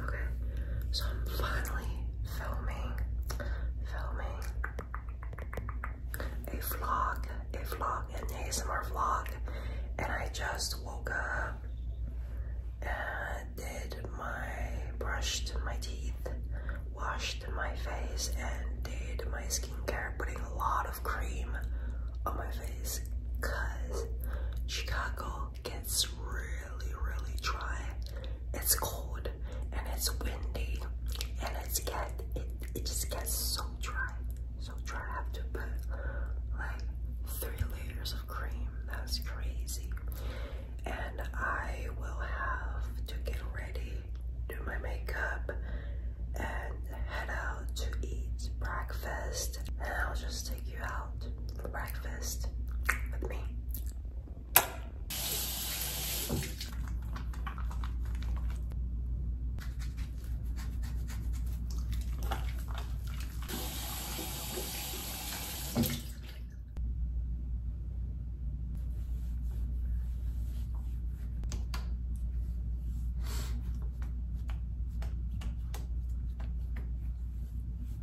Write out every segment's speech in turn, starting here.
Okay, so I'm finally filming, filming a vlog, a vlog, an ASMR vlog, and I just woke up and did my, brushed my teeth, washed my face, and did my skincare, putting a lot of cream on my face, cause Chicago gets really, really dry. It's cold and it's windy and it's get it it just gets so dry. So dry I have to put like three layers of cream. That's crazy. And I will have to get ready, do my makeup and head out to eat breakfast and I'll just take you out for breakfast with me.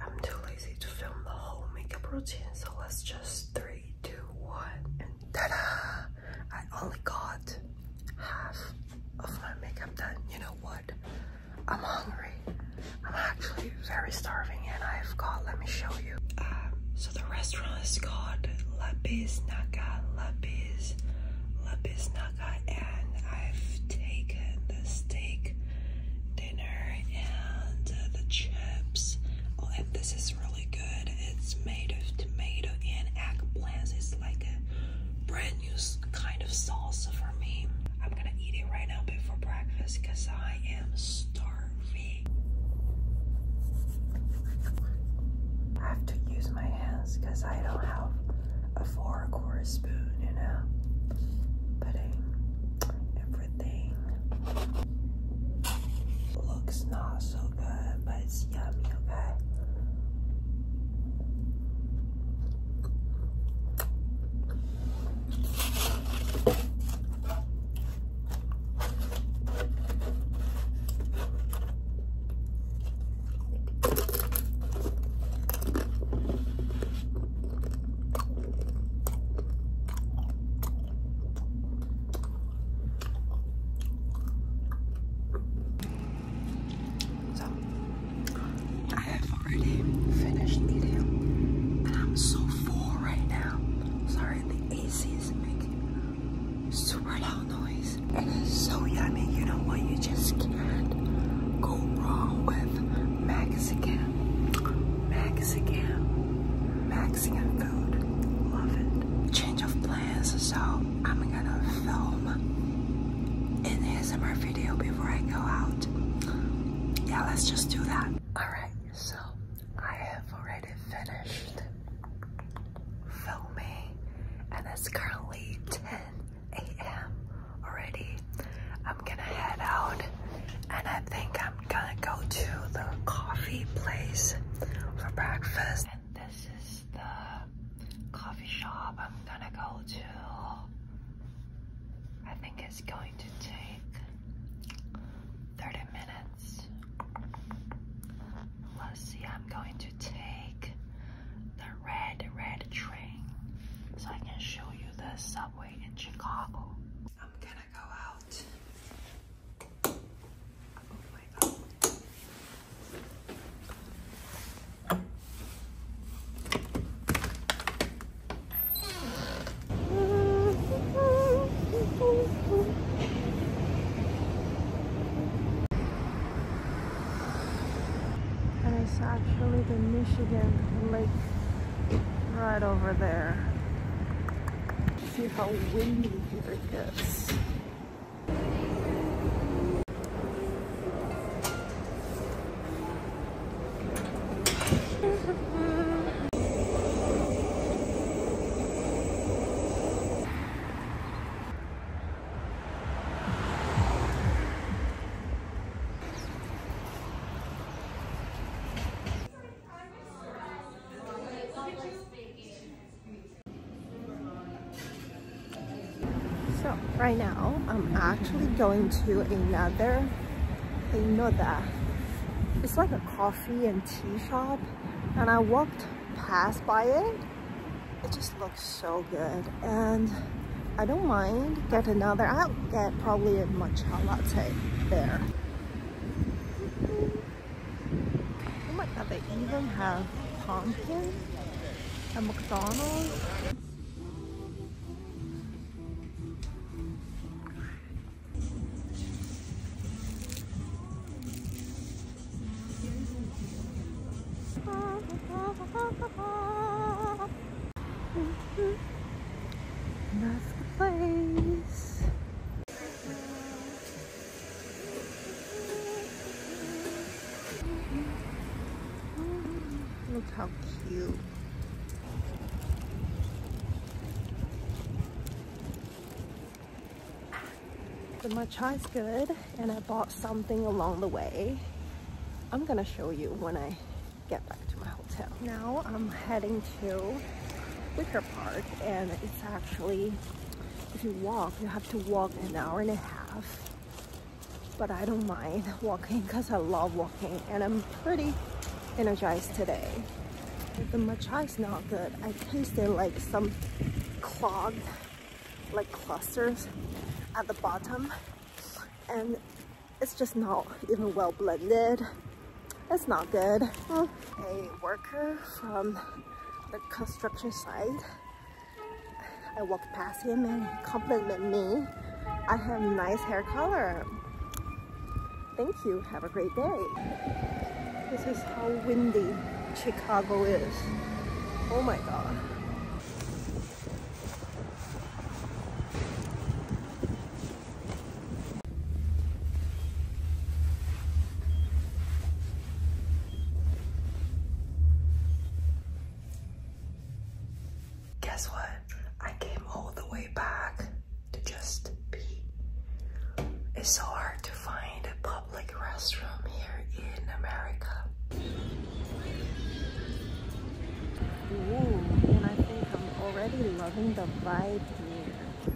I'm too lazy to film the whole makeup routine, so let's just three, two, one, and ta-da! I only got half of my makeup done. You know what? I'm hungry. I'm actually very starving, and I've got. Let me show you. Um, so the restaurant is called Lapis Naga. Lapis, Lapis Naga and I've taken the steak dinner and uh, the chips. Oh, and this is really good. It's made of tomato and eggplants. It's like a brand new kind of salsa for me. I'm gonna eat it right now before breakfast because I am starving. I have to use my hands because I don't have a four course spoon, you know, putting everything. Looks not so good, but it's yummy, okay? So, I have already finished eating, and I'm so full right now. Sorry, the AC isn't making super loud noise. and It is so yummy, you know what? You just can't go wrong with Mexican, Mexican, Mexican food. Love it. Change of plans, so I'm gonna film in the summer video before I go out. Yeah, let's just do that. Alright, so I have already finished filming and it's currently 10 a.m. already. I'm gonna head out and I think I'm gonna go to the coffee place for breakfast. And this is the coffee shop I'm gonna go to. I think it's going to take 30 minutes. Let's see, I'm going to take the red, red train so I can show you the subway in Chicago. I'm gonna go out. Oh and it's actually the Michigan Lake right over there. See how windy here it so right now I'm actually going to another another it's like a coffee and tea shop and I walked past by it. It just looks so good. And I don't mind get another. I'll get probably a matcha latte there. Oh my god, they even have pumpkin at McDonald's. That's the place. Look how cute. The matcha is good and I bought something along the way. I'm gonna show you when I get back to my hotel. Now I'm heading to Wicker Park and it's actually, if you walk, you have to walk an hour and a half. But I don't mind walking because I love walking and I'm pretty energized today. the matcha is not good. I tasted like some clog like clusters at the bottom and it's just not even well blended. It's not good. a worker from the construction site, I walked past him and he complimented me. I have nice hair color. Thank you. Have a great day. This is how windy Chicago is. Oh my God. guess what? I came all the way back to just be. It's so hard to find a like public restroom here in America. Ooh, and I think I'm already loving the vibe here.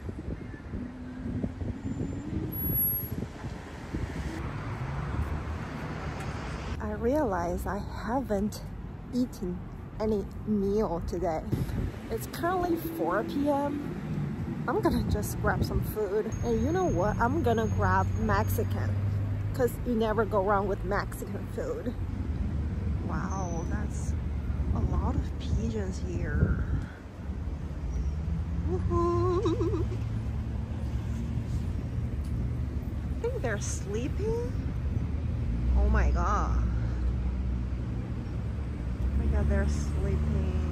I realize I haven't eaten any meal today. It's currently 4 p.m. I'm gonna just grab some food. And you know what? I'm gonna grab Mexican because you never go wrong with Mexican food. Wow, that's a lot of pigeons here. I think they're sleeping. Oh my god. Oh my god, they're sleeping.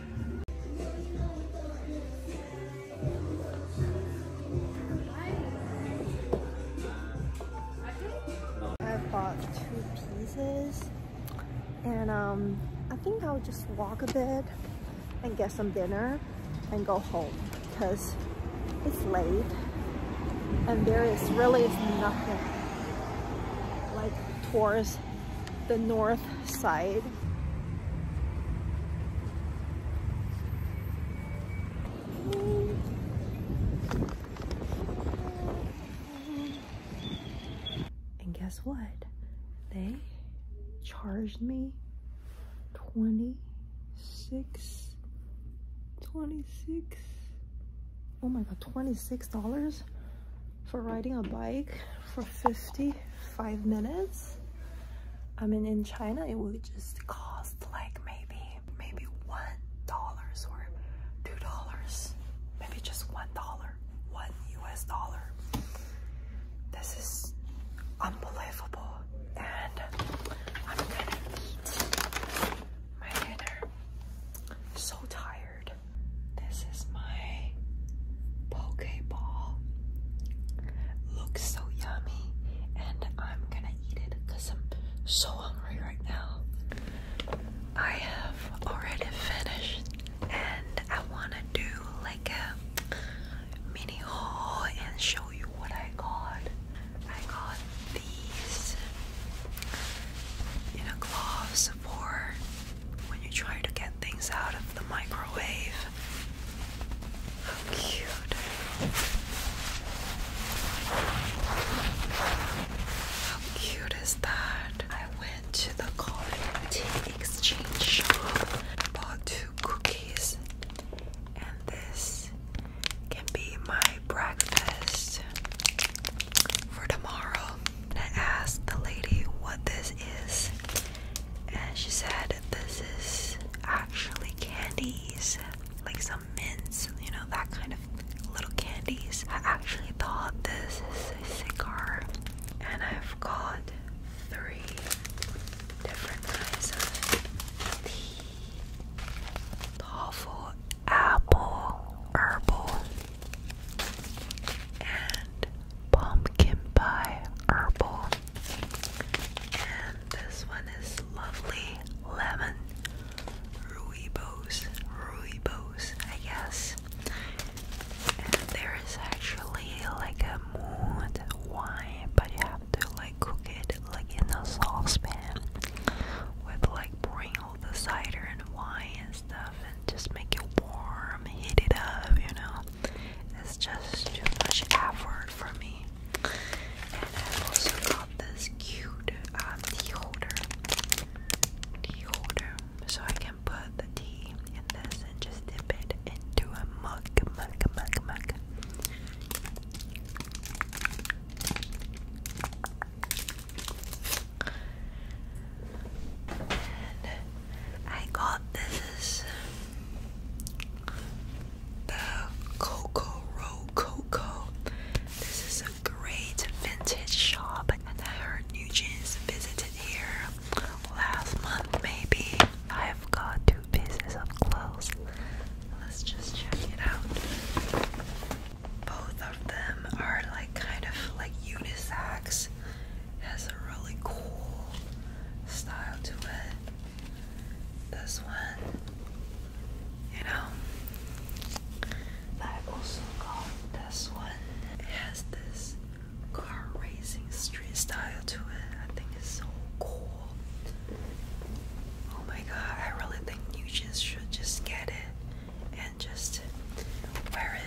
I bought two pieces and um, I think I'll just walk a bit and get some dinner and go home because it's late and there is really nothing like towards the north side and guess what? They charged me 26 26 oh my god 26 dollars for riding a bike for 55 minutes. I mean, in China, it would just cost like maybe, maybe $1 or $2, maybe just $1, 1 US dollar. This is unbelievable. And I'm gonna eat my dinner. So tired. This is my Pokeball. Looks so yummy, and I'm gonna eat it I'm so hungry right now. I have already finished, and I wanna do like a mini haul and show you what I got. I got these, you know, gloves for when you try to get things out of the microwave. How cute. How cute is that? I went to the Cotton Tea Exchange shop, bought two cookies, and this can be my breakfast for tomorrow and I asked the lady what this is, and she said this is actually candies, like some mints, you know, that kind of little candies. I actually thought this is a cigar, and I've got three different kinds of tea. Toffee, apple, herbal, and pumpkin pie herbal. And this one is lovely lemon ruibos, ruibos, I guess. there is actually like a mood wine, but you have to like cook it like in a saucepan with like pouring all the cider and wine and stuff just make it warm, heat it up, you know. It's just too much effort for me. And I also got this cute uh, tea holder. So I can put the tea in this and just dip it into a mug, mug, mug, mug. I got this the Coco Row Coco. This is a great vintage shop, and I heard New Jeans visited here last month, maybe. I've got two pieces of clothes. Let's just check it out. Both of them are like kind of like unisex has a really cool style to it. This one, you know, I also got this one. has this car racing street style to it. I think it's so cool. Oh my god, I really think you just should just get it and just wear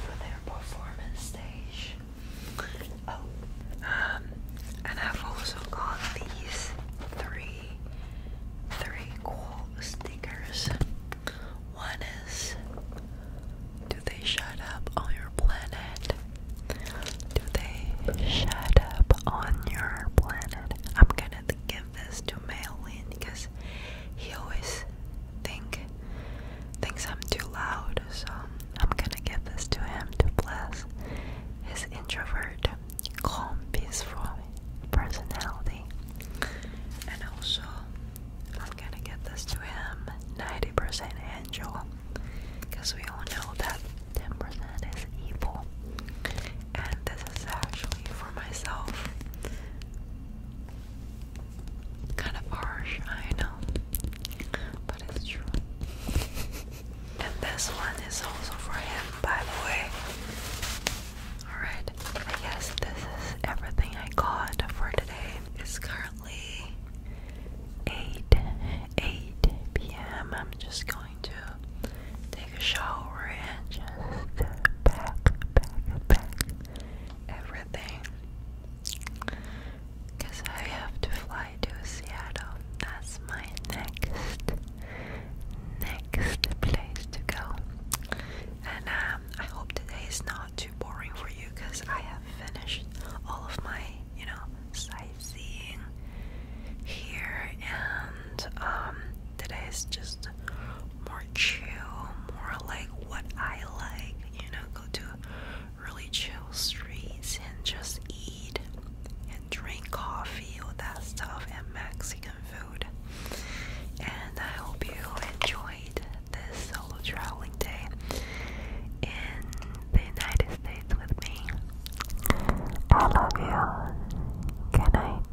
for their performance stage. Oh, um, and I've also got these three three cool stickers. One is Do they shut up on your planet? Do they shut up on your planet? I'm gonna give this to Maylin because he always think thinks I'm too loud, so I'm gonna get this to him to bless his introvert, calm, peaceful personality. And also, I'm gonna get this to him 90% angel, because we all know that 10% is evil. And this is actually for myself. Kind of harsh, I know, but it's true. And this one is also for him, by the way. Alright, I guess this is everything I got for today. It's currently 8, 8 p.m. I'm just going to take a shower and just back, back, back everything. Cause I have to fly to Seattle. That's my next next place to go. And um, I hope today is not too boring for you because I have finished all of my, you know, sightseeing here and um today is just more chill, more like what I like, you know, go to really chill streets and just eat and drink coffee, all that stuff, and Mexican food. And I hope you enjoyed this solo traveling day in the United States with me. I love you. Good night.